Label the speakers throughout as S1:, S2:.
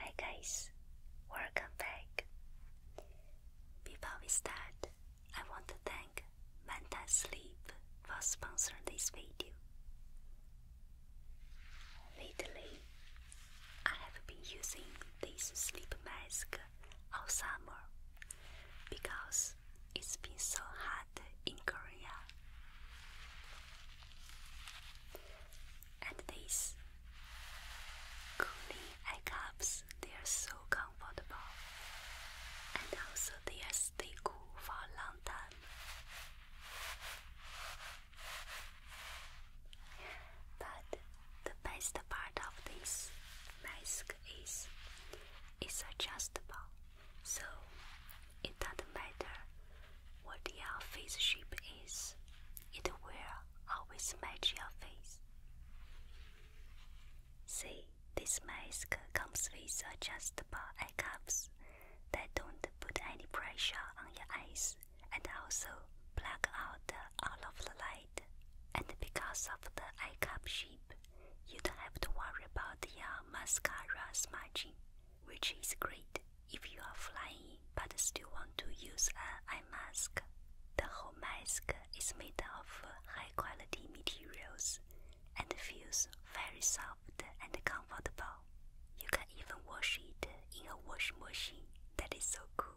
S1: Hi guys, welcome back. Before we start, I want to thank Manta Sleep for sponsoring this video. Lately, I have been using this sleep mask all summer because it's been so hot in Korea and these cooling eye cups, they are so comfortable and also they are stay cool for a long time. But the best part of this mask is it's adjustable, so it doesn't matter what your face shape is. It will always match your face. See, this mask comes with adjustable eye cups that don't put any pressure on your eyes and also block out all of the light. And because of the eye cup shape, you don't have to worry about your mascara smudging which is great if you are flying but still want to use an eye mask. The whole mask is made of high quality materials and feels very soft and comfortable. You can even wash it in a wash machine. That is so cool.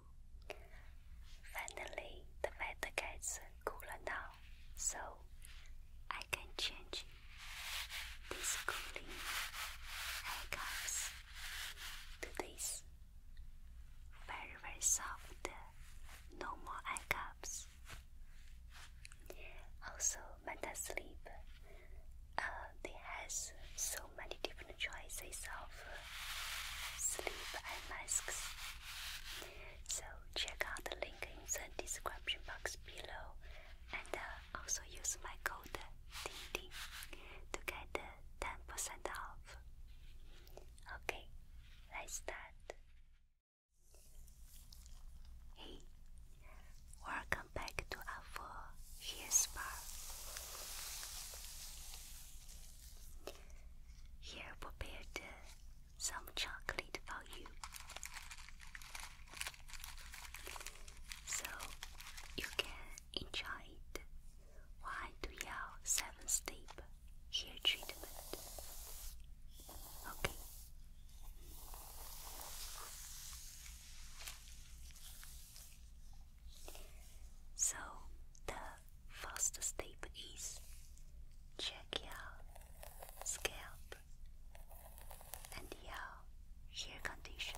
S1: Finally, the weather gets cooler now, so I can change this cooling icons to these, very very soft, no more eye cups. Also, Meta Sleep, uh, they has so many different choices of uh, sleep eye masks. So check out the link in the description box below and. Uh, also use my code DINGDING to get 10% off. Okay, let's start. Hey, welcome back to our hair spa. Here prepared some chocolate for you. So you can enjoyed. Why do your seven step hair treatment? Okay. So the first step is check your scalp and your hair condition.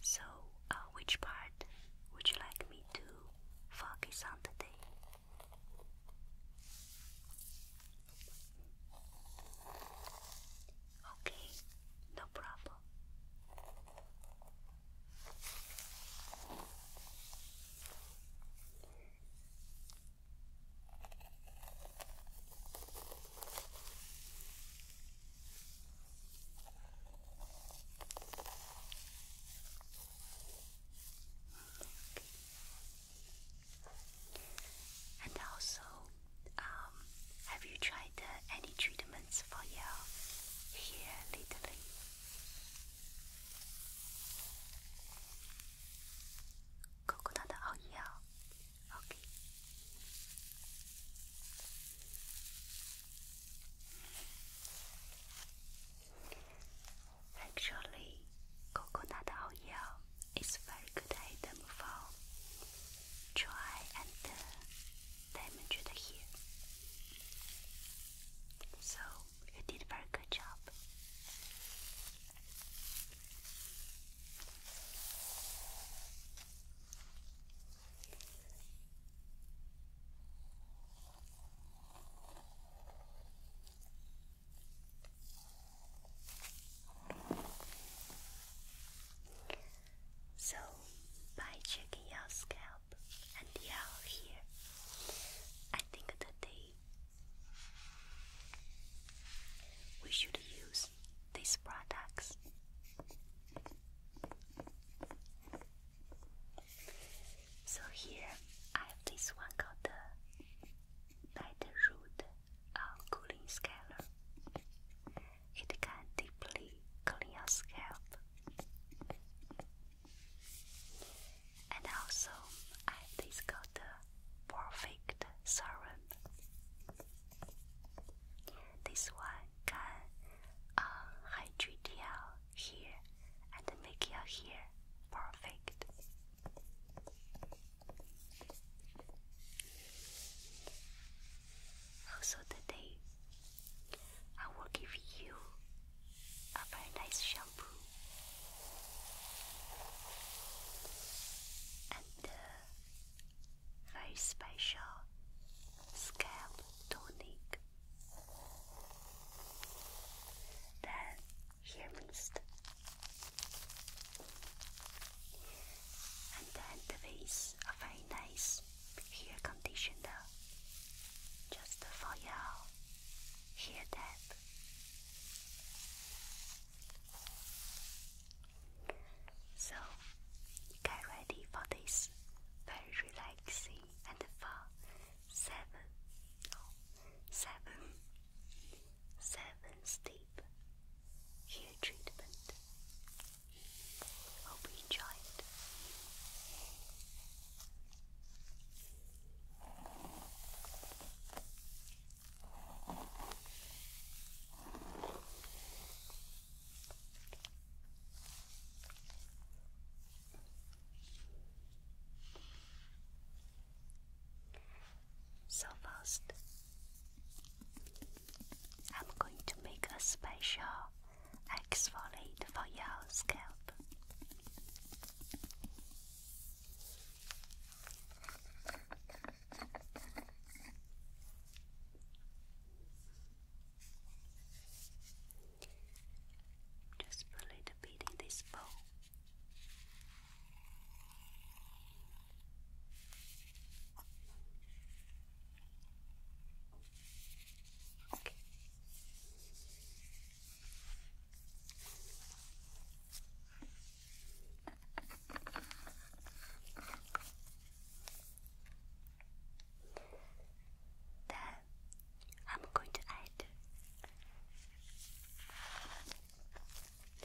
S1: So, uh, which part would you like me to focus on today? Okay, no problem. And also, um, have you tried any treatments for your hair lately? Coconut oil. Okay. Actually, coconut oil is a very good item for dry and uh, damage it here. So you did very good job. So, by checking your scalp and your hair, I think today we should use these products. So here I have this one called the Light uh, Cooling Scaler. It can deeply clear scalp. And also, I've discovered the perfect serum. This one can uh, hydrate your hair and make your hair perfect. Also today, I will give you a very nice shampoo. And a very special scalp tonic. Then here mist. And then the face a very nice hair conditioner, just for your hair depth. So, get ready for this very relaxing and fun seven, oh, seven, seven step hair treatment. Hope you enjoyed. So first, I'm going to make a special exfoliate for your scalp. Just a little bit in this bowl. Then I'm going to add a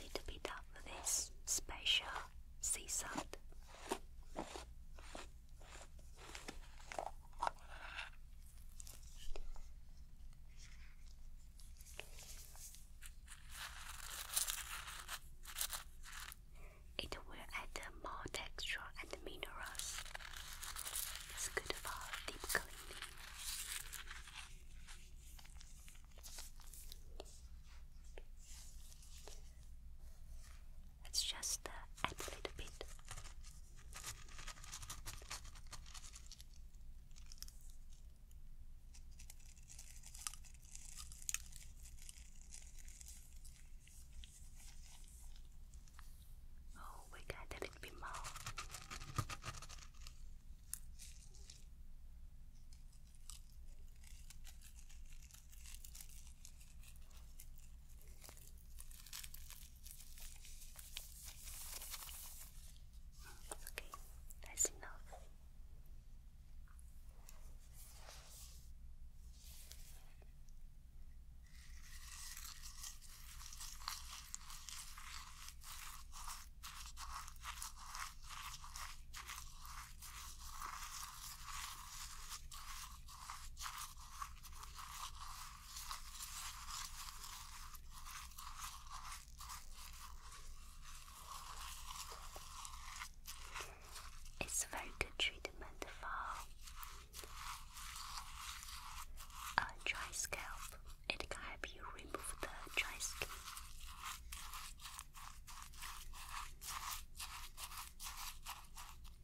S1: little bit of this special sea salt. It will add more texture and minerals. It's good for deep cleaning. Let's just add a little bit. Oh, we got a little bit more. Okay, that's enough. It's a very good treatment for a dry scalp. It can help you remove the dry skin.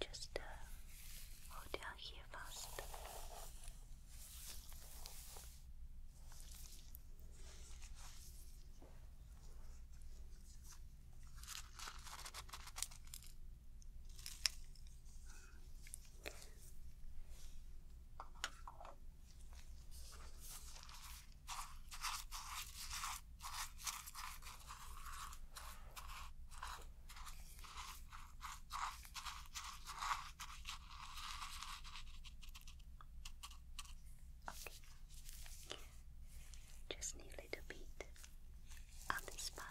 S1: Just uh, hold down here fast. Okay. Just need a little bit on this part.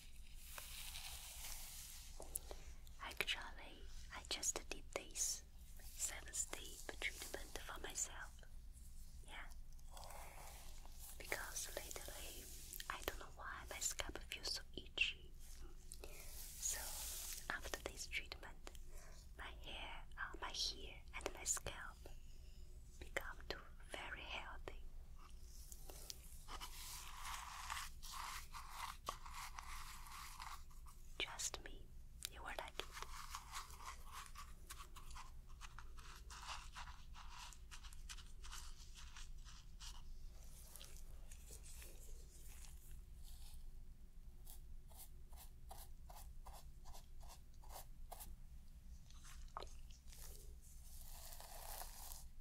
S1: Actually, I just did this 7 step treatment for myself. Yeah. Because lately, I don't know why my scalp feels so itchy. So after this treatment, my hair, uh, my hair and my scalp become too very healthy. Just me, you were lucky.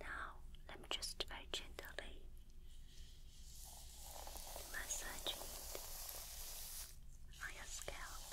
S1: Now, let me just very gently massage your scalp.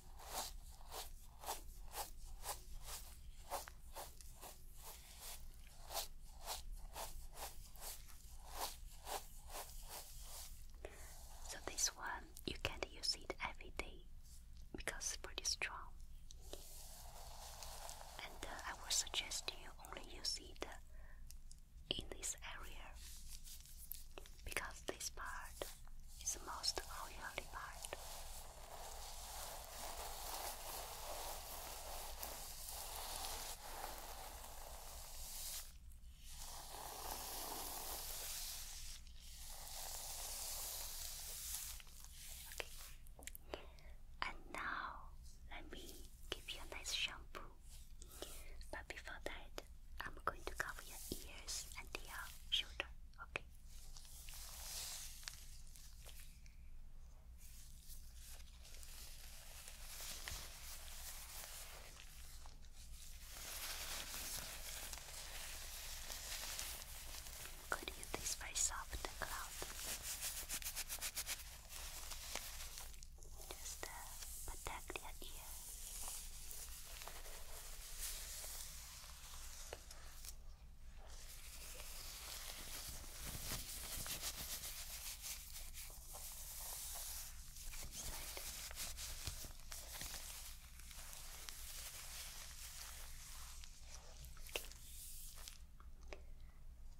S1: So this one you can't use it every day because it's pretty strong. And uh, I would suggest you only use it in this area because this part is the most unhealthy part. Okay. And now let me give you a nice shampoo. But before that, I'm going to cover your ears and your shoulder. Okay. I'm going to use this very soft cloth. Just uh, protect your ear.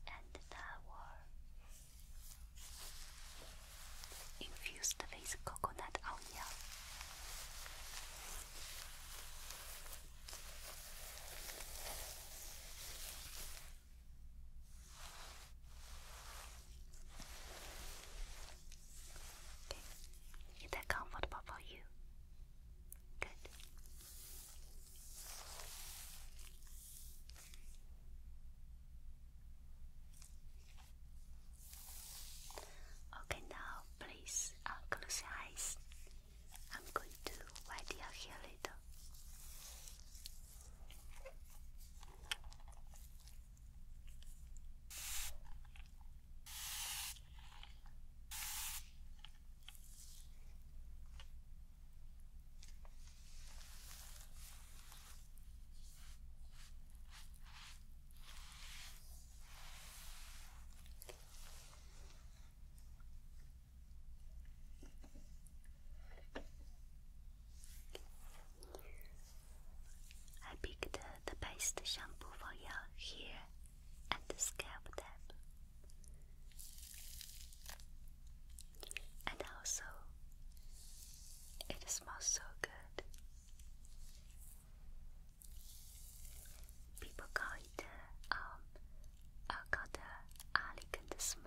S1: And the tower infused with coconut oil. Is that comfortable for you? Good. Okay, now please uh, close your eyes. I'm going to wet your hair a little. I picked uh, the best shampoo for your hair and the scalp type, and also it smells so good. People call it um, uh, called elegant smile.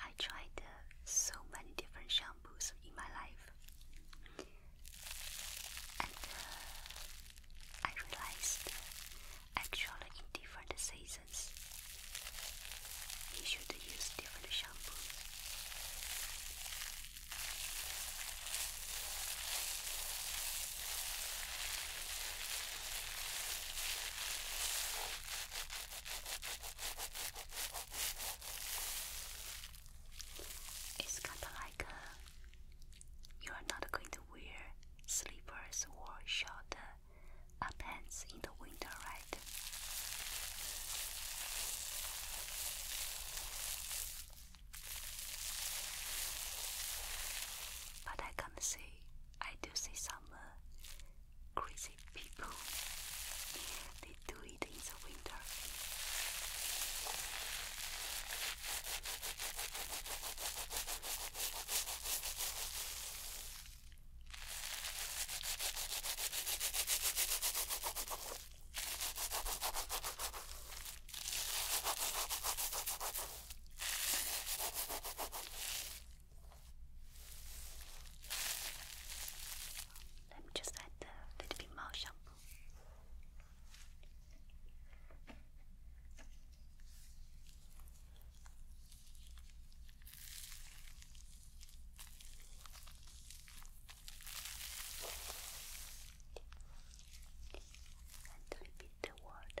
S1: I tried so many different shampoos in my life, and uh, I realized actually in different seasons you should use different shampoo. It's kinda like uh, you are not going to wear slippers or short uh, pants in the winter, right? But I can't I do see some uh, crazy people. They do it in the winter. Let me just add a little bit more shampoo. And repeat the word.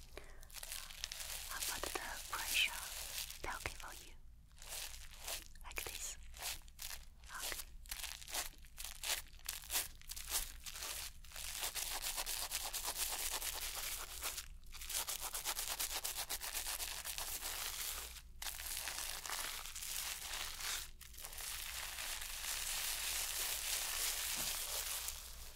S1: How about the pressure they for you? Like this. Okay.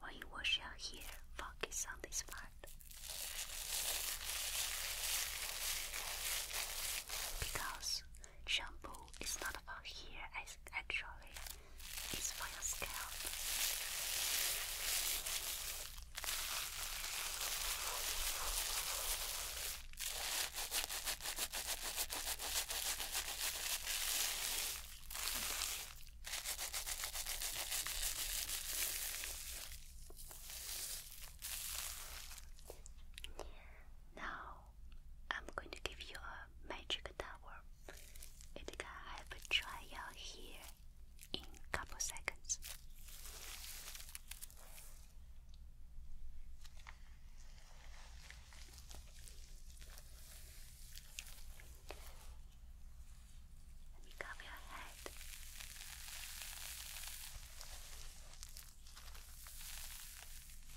S1: When you wash your hair, focus on this part because shampoo is not about hair as actually is for your scalp. Now, I'm going to give you a magic tower. It can have a trial here in couple seconds. Let me cover your head.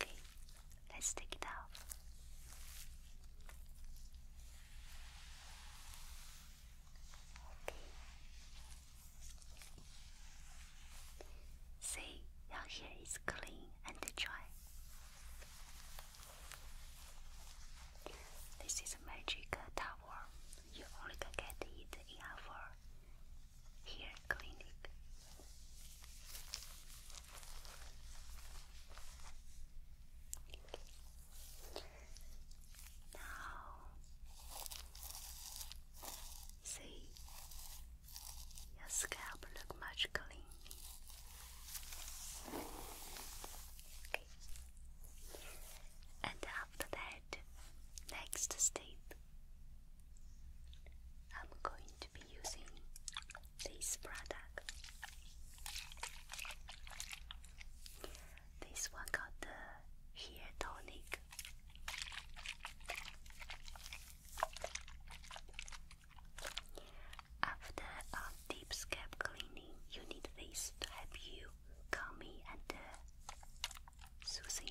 S1: Okay, let's take it out. Okay. See, your hair is clean and dry. This is magic towel you only can get it in our here clinic. Now, see, your scalp look much clean. And after that, next step I'm going to be using this product this one called the hair tonic after a deep scalp cleaning you need this to help you call me and uh, soothing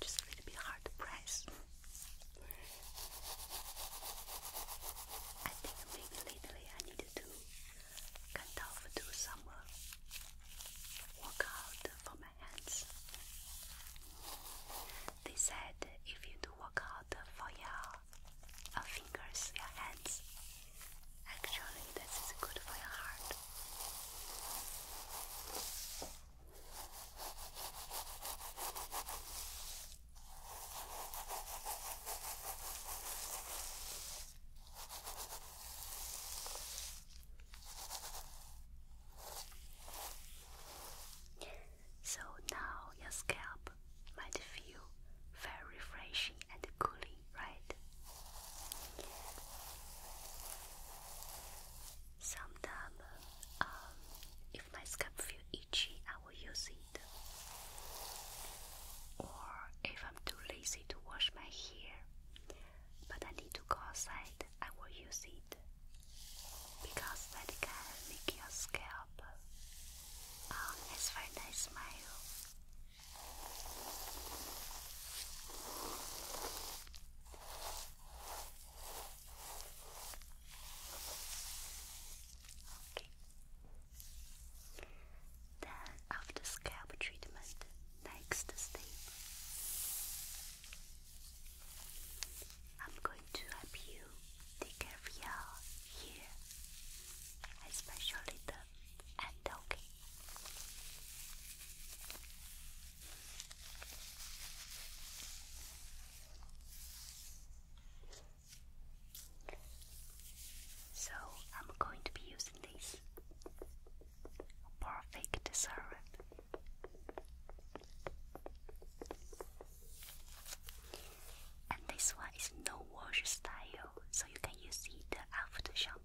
S1: Just a little bit hard to press. I think maybe lately I need to kind of do some uh, workout for my hands. They said if you do workout for your your fingers, your hands. Actually, this is good for your heart. So now your scalp might feel very refreshing and cooling, right? Sometimes, um, if my scalp feels itchy, I will use it. Or if I'm too lazy to wash my hair, but I need to go outside, I will use it because that can make your scalp Oh, that's for a nice smile. Okay. Then after scalp treatment, next step, I'm going to help you take care of your hair, especially the end, okay? So I'm going to be using this perfect serum. And this one is no wash style, so you can use it after shampoo.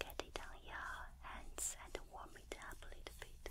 S1: get it on your hands and warm it up a little bit.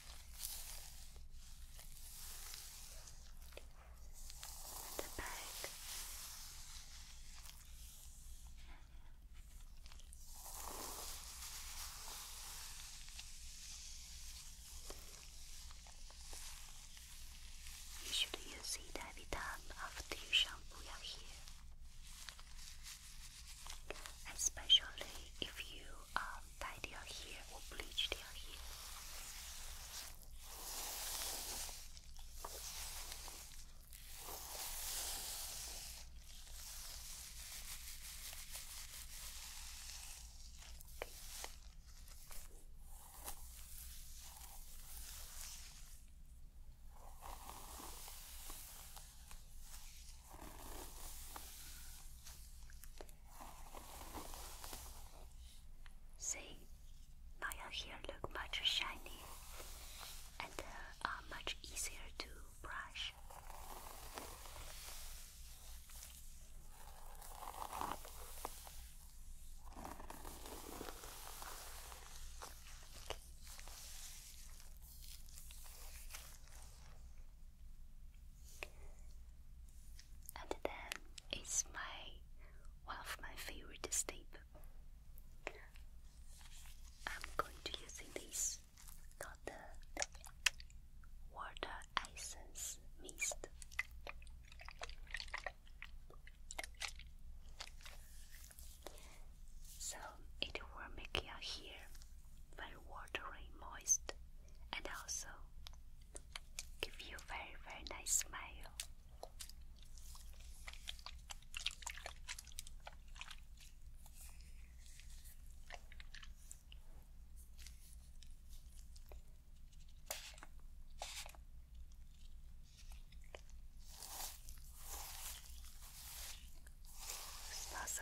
S1: the back you should use it every time after you shampoo your hair especially if you um, dye their hair or bleach your hair. See, now your hair look much shiny and uh, are much easier to brush and then it's my one of my favorite step. I'm going to using this called the water essence mist. So it will make your hair very watery moist and also give you very very nice smile. Smells so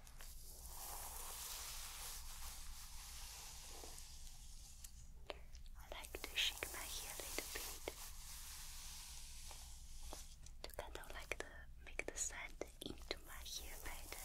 S1: I like to shake my hair a little bit to kind of like the make the sand into my hair better.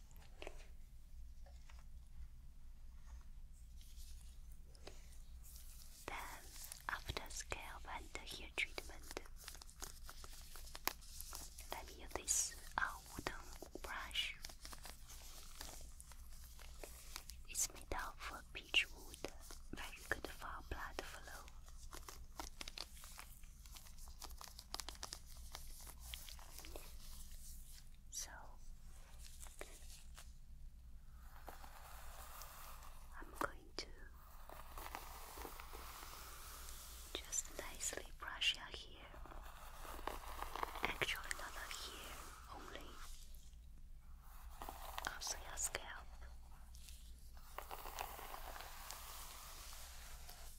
S1: Then, after scalp and hair treatment, let me use this uh, wooden brush. It's made of peach wood, very good for blood flow. So I'm going to just nicely brush your hair. Actually, not the hair only, also your scalp.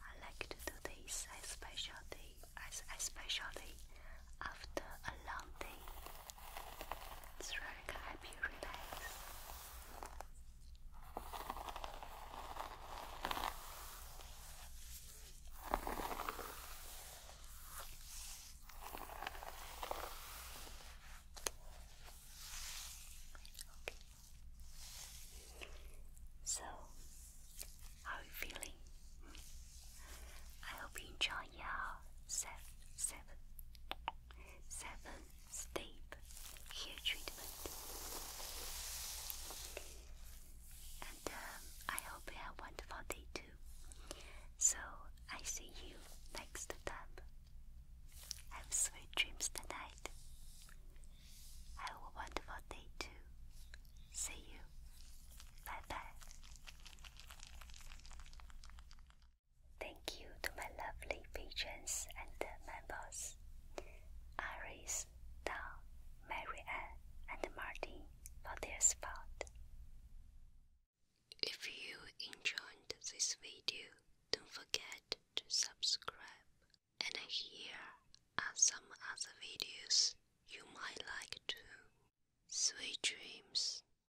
S1: I like to do this especially, especially after a long day. It's really gonna help you relax. Okay. So, how are you feeling? Hmm. I hope you enjoy your seven, seven, Seven step hair treatment. And um, I hope you have a wonderful day too. So I see you next time. Have sweet dreams tonight. Have a wonderful day too. See you. Bye bye. Thank you to my lovely patrons and members Iris, Don, Marianne, and Martin for their support. If you enjoyed this video, don't forget to subscribe. And here are some other videos you might like too. Sweet dreams.